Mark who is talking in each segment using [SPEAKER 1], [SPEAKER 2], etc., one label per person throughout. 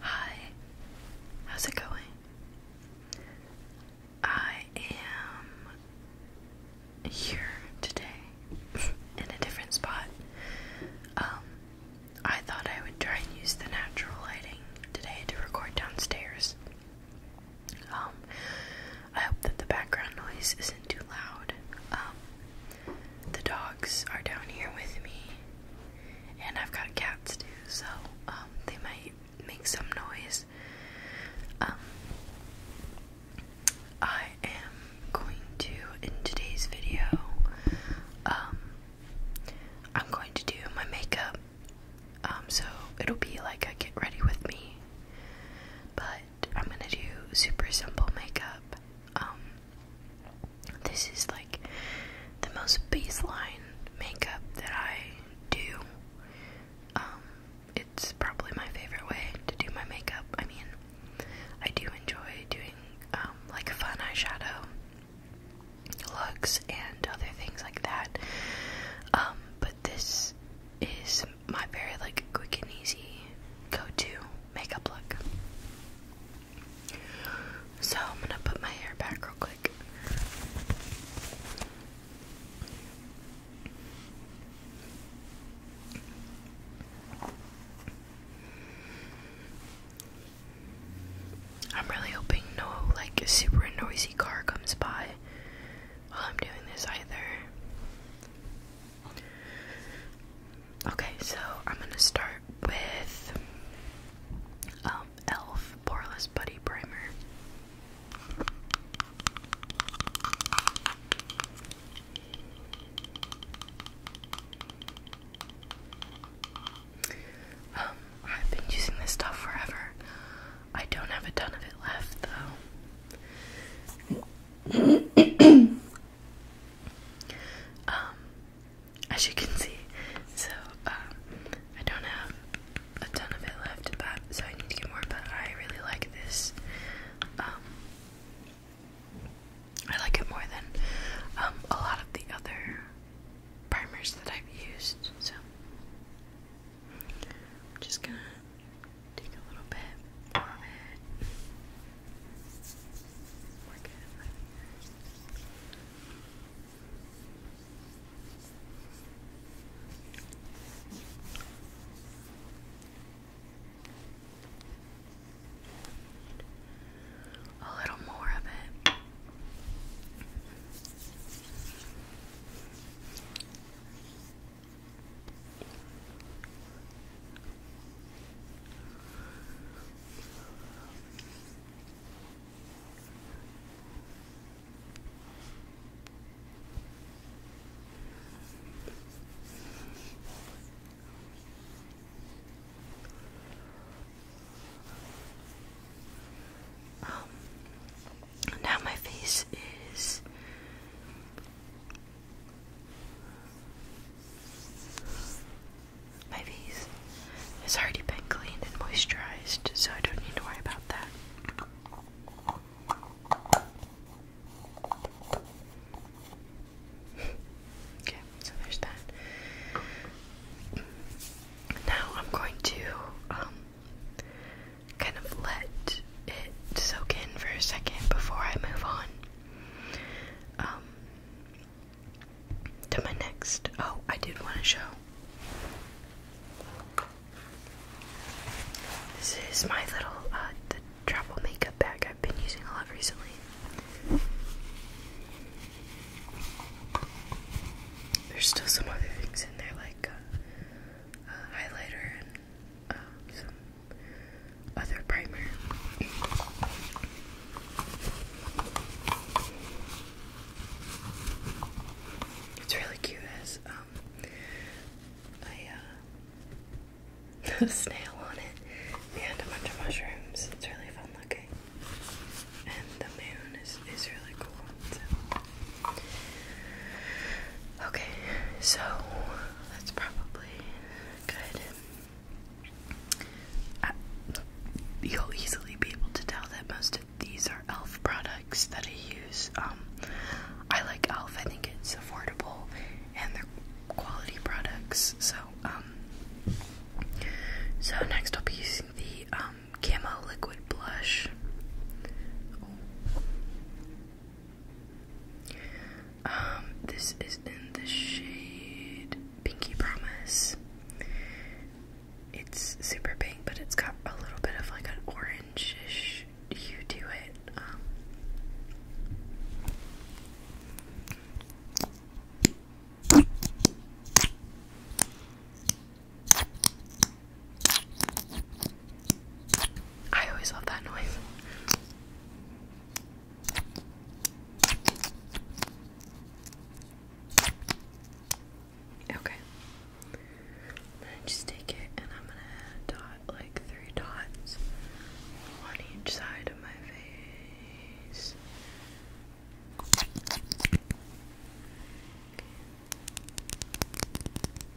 [SPEAKER 1] Hi, how's it going? I am here today in a different spot. Um, I thought I would try and use the natural lighting today to record downstairs. Um, I hope that the background noise isn't too loud. Um, the dogs are down here with me, and I've got cats too, so um, they might make some noise. Um, I am going to, in today's video, um, I'm going to do my makeup. so it'll be like a get ready with me, but I'm gonna do super simple makeup. This is like the most baseline makeup that I do. Um, it's probably my favorite way to do my makeup. I mean, I do enjoy doing um, like fun eyeshadow looks and other things like that. Um, but this is my very like quick and easy go-to makeup look. So I'm gonna put my hair back real quick. I'm really hoping no like super noisy car comes by while I'm doing this either. Okay, so I'm gonna start with um, Elf Poreless Buddy Primer. Um, I've been using this stuff forever. I don't have a ton of it left though. Um, as you can see, so um, I don't have a ton of it left, but so I need to get more. But I really like this. Um, I like it more than a lot of the other primers that I've used. So I'm just gonna take a little bit we're A little more of it. Um, now my face is my face has already been cleaned and moisturized, so I don't need to worry about that. okay, so there's that. Now I'm going to um, kind of let it soak in for a second before I move on. Um, to my next. Oh, I did want to show. This is my little uh, the travel makeup bag I've been using a lot recently. There's still some other things in there like uh, highlighter and uh, some other primer. It's really cute as um a uh, snail on it and a bunch of mushrooms. It's really fun looking. And the moon is, is really cool. Okay, so that's probably good. Uh, you'll easily be able to tell that most of these are elf products that I use. Um, I like elf, I think it's affordable and they're quality products. So, um, so next I'll be using the um, Camo Liquid Blush. Um, this is in the shade Pinky Promise. It's super pink, but it's got a little bit of like an orangish You do it. Um, I always love that noise. Okay. I'm gonna just take it and I'm gonna dot like three dots on each side of my face.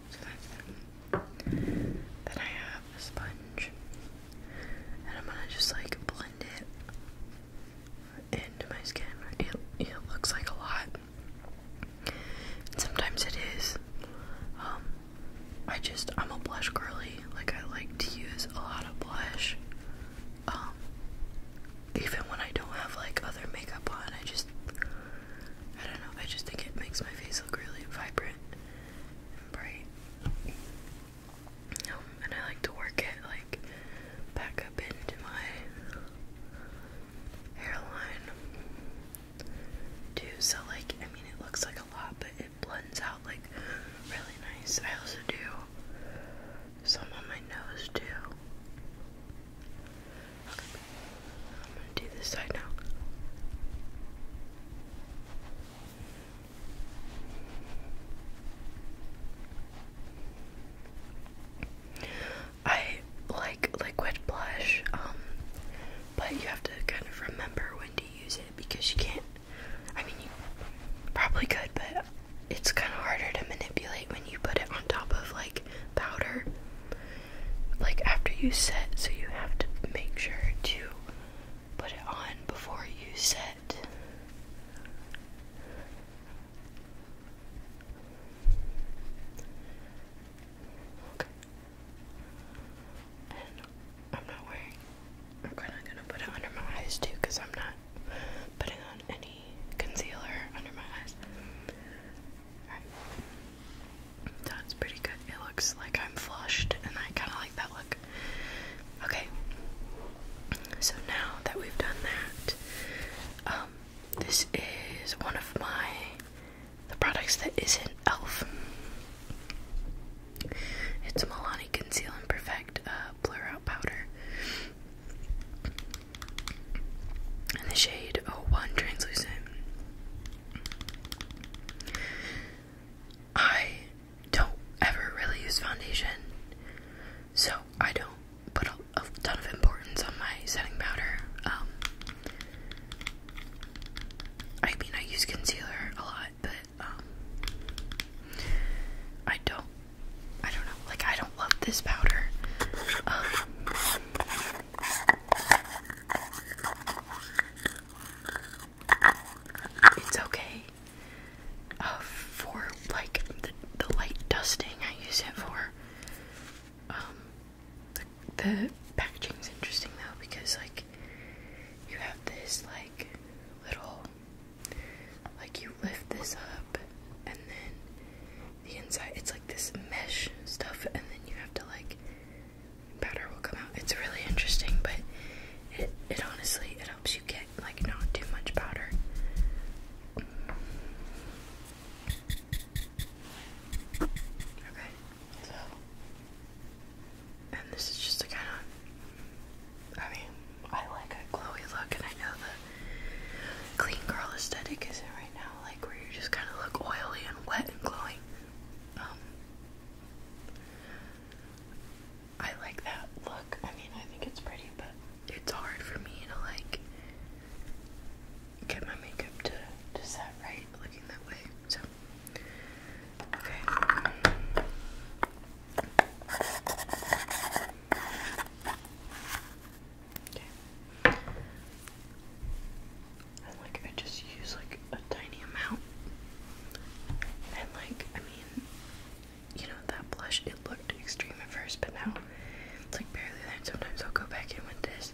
[SPEAKER 1] So then I have a sponge, and I'm gonna just like blend it into my skin. It, it looks like a lot, sometimes it is. Um, I just I'm a blush girly. Like I like to use a lot of blush. Um, even when I don't have like other makeup on, I just I don't know. I just think it makes my face look really vibrant bright. Um, and I like to work it like back up into my hairline too. So like, I mean, it looks like a lot, but it blends out like really nice. I also do some on my nose too. I'm gonna do this side now. I like liquid blush, um, but you have to kind of remember when to use it because you can't. I mean, you probably could, but it's kind of harder to manipulate when you put it on top of like powder. Like after you set, so you have to make sure to put it on before you sit. Okay. And I'm not wearing. I'm kind of gonna put it under my eyes too, cause I'm not putting on any concealer under my eyes. That's pretty good. It looks like I'm flushed, and I kind of like that look. Okay, so now that we've done that, um, this is one of my the products that isn't Elf. It's Milani Conceal and Perfect uh, Blur Out Powder. In the shade 01 Translucent. I don't ever really use foundation, so I don't put a, ton of importance on my setting powder. Um, I mean, I use concealer a lot, but um, I don't. I don't know. Like, I don't love this powder. Um, it's okay. Uh, for like the, light dusting, I use it for. Um, the, packaging is interesting though because like you have this like little like you lift this up and then the inside it's like this mesh stuff and then you have to like powder will come out. It's really interesting, but it honestly it helps you get like not too much powder. Okay, so and this is just a kind of I mean I like a glowy look, and I know the clean girl aesthetic is isn't right now, like where you are just kind of look oily and wet and glowing. Um, I like that look. I mean, I think it's pretty, but it's hard for me to like get my makeup to to that right looking that way. So okay. Okay and like I just use like a tiny amount. And like I mean, you know that blush it looked extreme at first, but now it's like barely there. sometimes I'll go back in with this.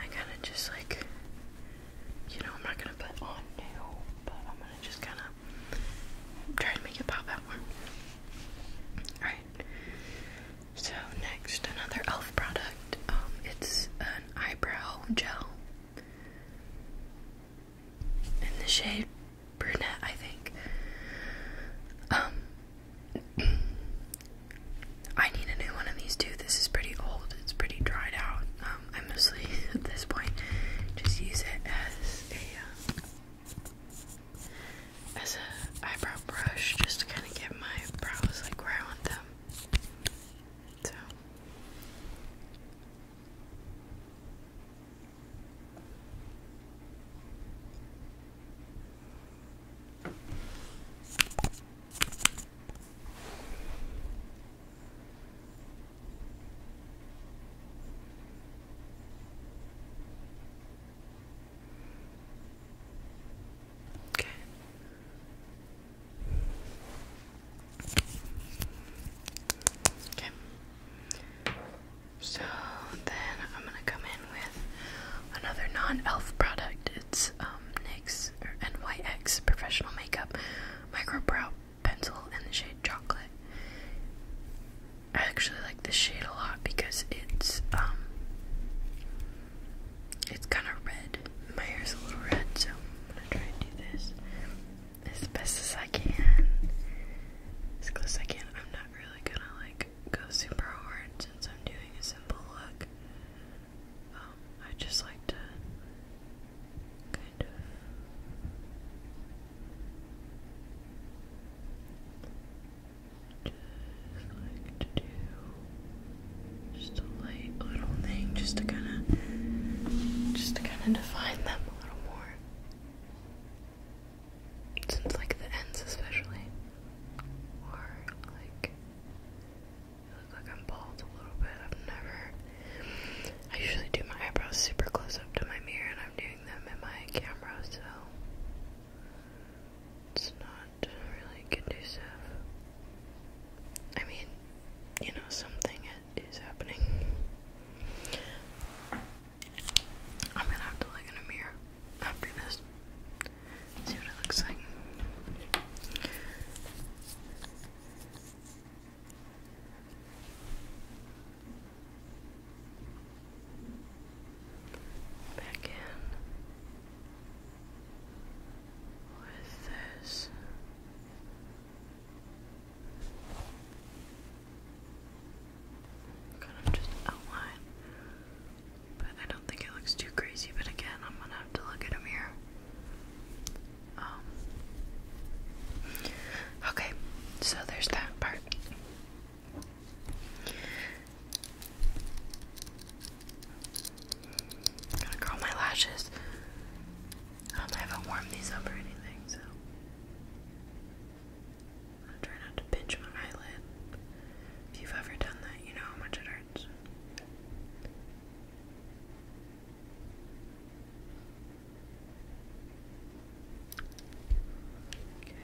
[SPEAKER 1] I kind of just like, you know, I'm not gonna put on new, but I'm gonna just kind of try to make it pop out more. Alright, so next, another elf product. Um, it's an eyebrow gel in the shade brunette, I think. Um, I need a new one of these too. This is pretty old. It's pretty dried out. Um, I mostly at this point just use it as a uh, as a eyebrow brush, just to kind trying to get my brows like where I want them. So. Okay. Okay. Okay. So then I'm gonna come in with another non-elf product. It's um, NYX NYX Professional Makeup Micro Brow Pencil in the shade Chocolate. I actually like this shade a lot because it's um it's kind of red. My hair's a little red, so I'm gonna try and do this as best as I can. As I can. not I'm not really gonna like go super hard since I'm doing a simple look. Um, I just like to kind of just like to do just a light little thing just to kind of just to kind of define them a little more since like the ends especially or like I look like I'm bald a little bit I've never I usually do my eyebrows super close up to my mirror and I'm doing them in my camera so it's not really conducive. I mean, you know, something is happening. I'm gonna have to look in a mirror after this. See what it looks like. Back in with this. Kind of just outline, but I don't think it looks too crazy. But again, I'm gonna have to look at a mirror. Um, okay, so there's that part i gonna curl my lashes. I haven't warmed these up or anything, so I'm try not to pinch my eyelid. If you've ever done that, you know how much it hurts. Okay.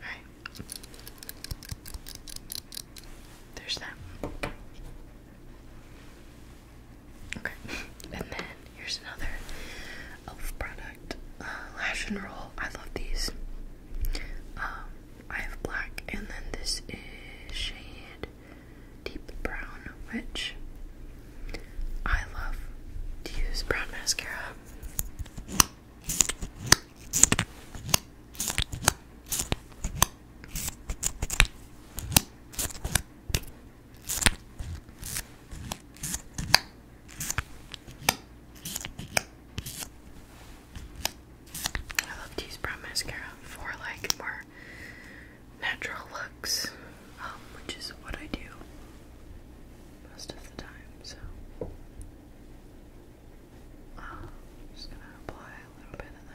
[SPEAKER 1] Alright. There's that. Okay. and then here's another elf product. Uh, lash and roll. I love these. Um, I have black, and then this is shade deep brown, which I love to use brown mascara. I love these brown mascara for like more natural looks, um, which is what I do most of the time. So, um, just gonna apply a little bit of that.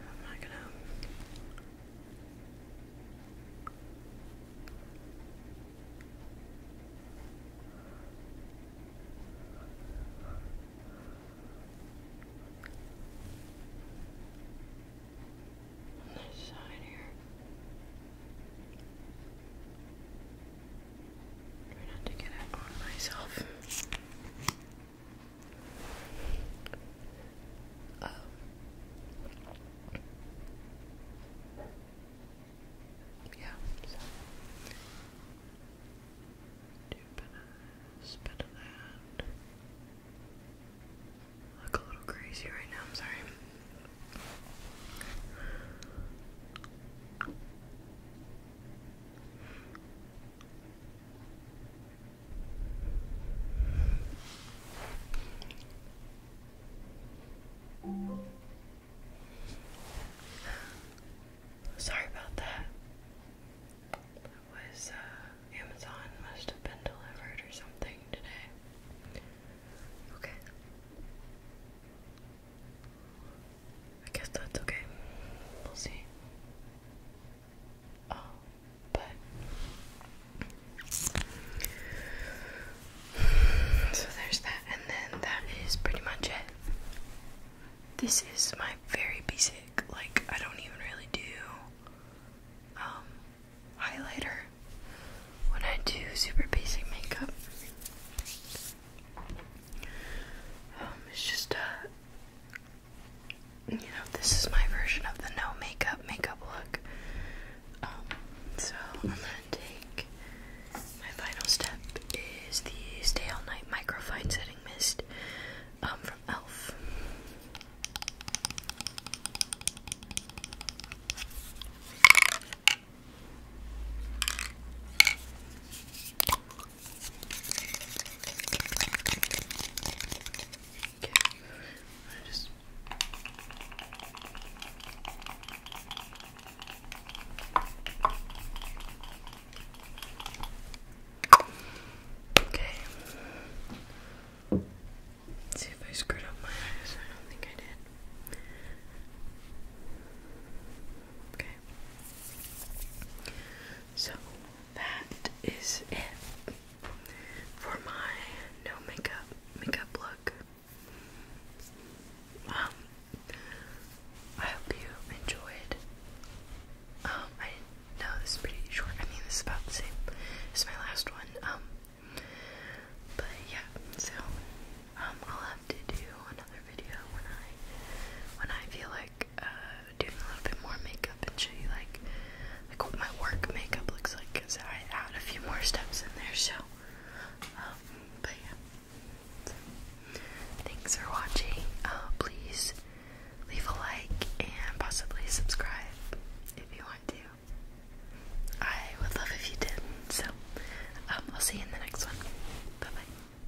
[SPEAKER 1] I'm not gonna. On this side here. Try not to get it on myself. Um, yeah, do a bit of that. look a little crazy right now, I'm sorry. Sorry about that. That was uh, Amazon must have been delivered or something today. Okay. I guess that's okay. We'll see. Oh, but so there's that, and then that is pretty much it. This is my very basic, like I don't even really do um highlighter when I do super basic makeup. Um, it's just uh you know, this is my version of the no makeup makeup look. Um, so I'm gonna take my final step is the Stay All Night Microfine Setting Mist um, from Elf. Okay. I just Okay. see if I screwed up my eyes. I don't think I did. Okay. So that is it for my no makeup makeup look. Um I hope you enjoyed. Um I know this is pretty short. I mean this is about the same as my last one. Um but yeah, so um I'll have to do another video when I when I feel like uh, doing a little bit more makeup and show you like like what my work makeup looks like because I add a few more steps in there. So, um, but yeah. thanks for watching. Uh, please leave a like and possibly subscribe if you want to. I would love if you did. So, um, I'll see you in the next one. Bye bye.